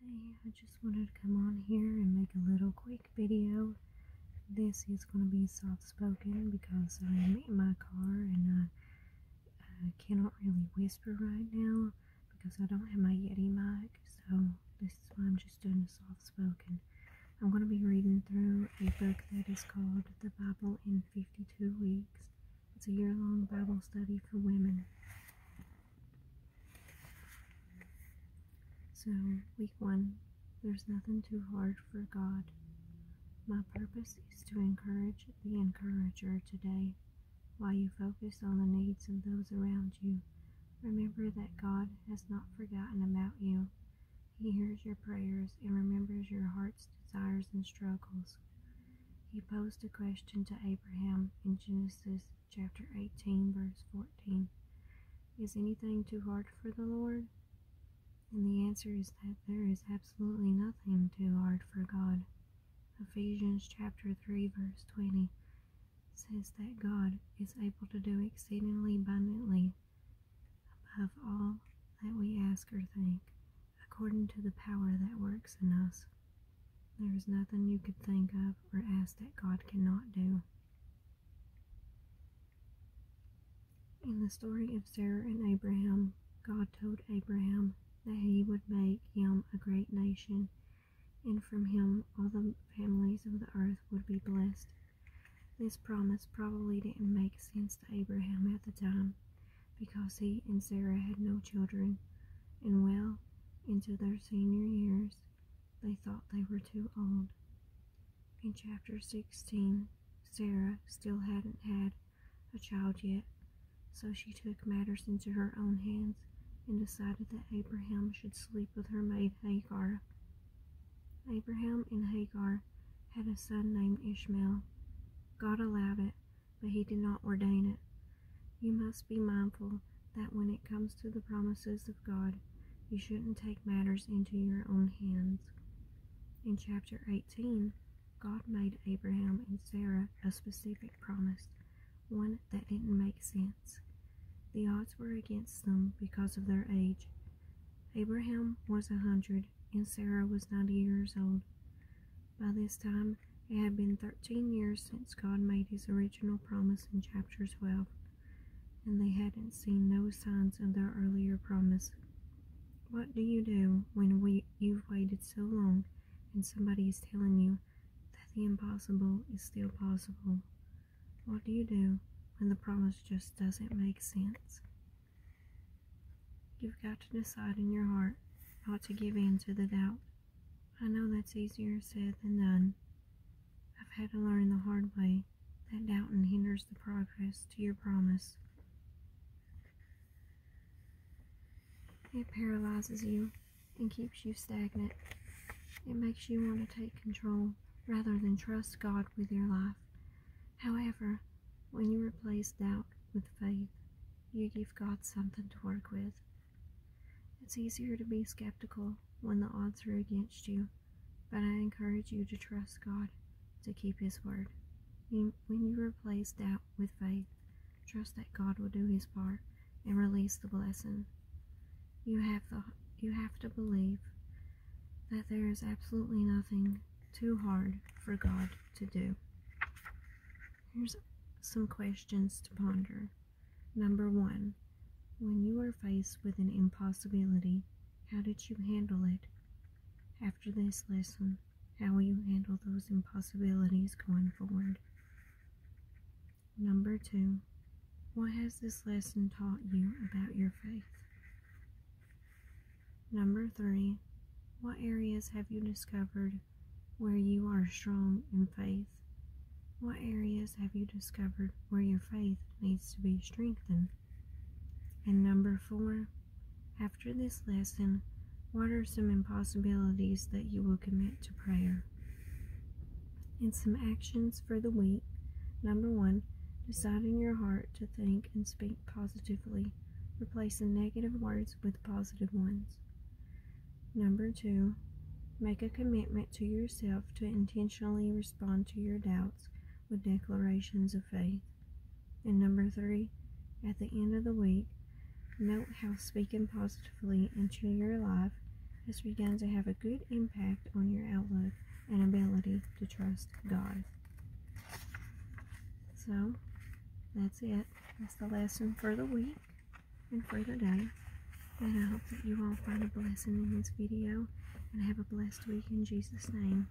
Hey, I just wanted to come on here and make a little quick video. This is going to be soft-spoken because I am in my car and I, cannot really whisper right now because I don't have my Yeti mic, so this is why I'm just doing soft-spoken. I'm going to be reading through a book that is called The Bible in 52 Weeks it's a year long Bible study for women. So, week one, there's nothing too hard for God. My purpose is to encourage the encourager today while you focus on the needs of those around you. Remember that God has not forgotten about you. He hears your prayers and remembers your heart's desires and struggles. He posed a question to Abraham in Genesis chapter 18, verse 14 Is anything too hard for the Lord? And the answer is that there is absolutely nothing too hard for God. Ephesians chapter 3, verse 20 says that God is able to do exceedingly abundantly above all that we ask or think, according to the power that works in us. There is nothing you could think of or ask that God cannot do. In the story of Sarah and Abraham, God told Abraham that he would make him a great nation, and from him all the families of the earth would be blessed. This promise probably didn't make sense to Abraham at the time because he and Sarah had no children, and well into their senior years, they thought they were too old. In chapter 16, Sarah still hadn't had a child yet, so she took matters into her own hands and decided that Abraham should sleep with her maid Hagar Abraham and Hagar had a son named Ishmael. God allowed it, but he did not ordain it. You must be mindful that when it comes to the promises of God, you shouldn't take matters into your own hands. In chapter 18, God made Abraham and Sarah a specific promise, one that didn't make sense. The odds were against them because of their age, Abraham was a hundred, and Sarah was ninety years old. By this time, it had been thirteen years since God made his original promise in chapter 12, and they hadn't seen no signs of their earlier promise. What do you do when you've waited so long and somebody is telling you that the impossible is still possible? What do you do when the promise just doesn't make sense? You've got to decide in your heart not to give in to the doubt. I know that's easier said than done. I've had to learn the hard way that doubting hinders the progress to your promise. It paralyzes you and keeps you stagnant. It makes you want to take control rather than trust God with your life. However, when you replace doubt with faith, you give God something to work with. It's easier to be skeptical when the odds are against you, but I encourage you to trust God to keep His word. When you replace doubt with faith, trust that God will do His part and release the blessing you have the you have to believe that there is absolutely nothing too hard for God to do. Here's some questions to ponder. Number one, when you are faced with an impossibility, how did you handle it? After this lesson, how will you handle those impossibilities going forward? Number two, what has this lesson taught you about your faith? Number three, what areas have you discovered where you are strong in faith? What areas have you discovered where your faith needs to be strengthened? And number four, after this lesson, what are some impossibilities that you will commit to prayer? And some actions for the week. Number one, deciding your heart to think and speak positively, replacing negative words with positive ones. Number two, make a commitment to yourself to intentionally respond to your doubts with declarations of faith. And number three, at the end of the week, note how speaking positively into your life has begun to have a good impact on your outlook and ability to trust God. So, that's it. That's the lesson for the week and for the day. And I hope that you all find a blessing in this video and have a blessed week in Jesus' name.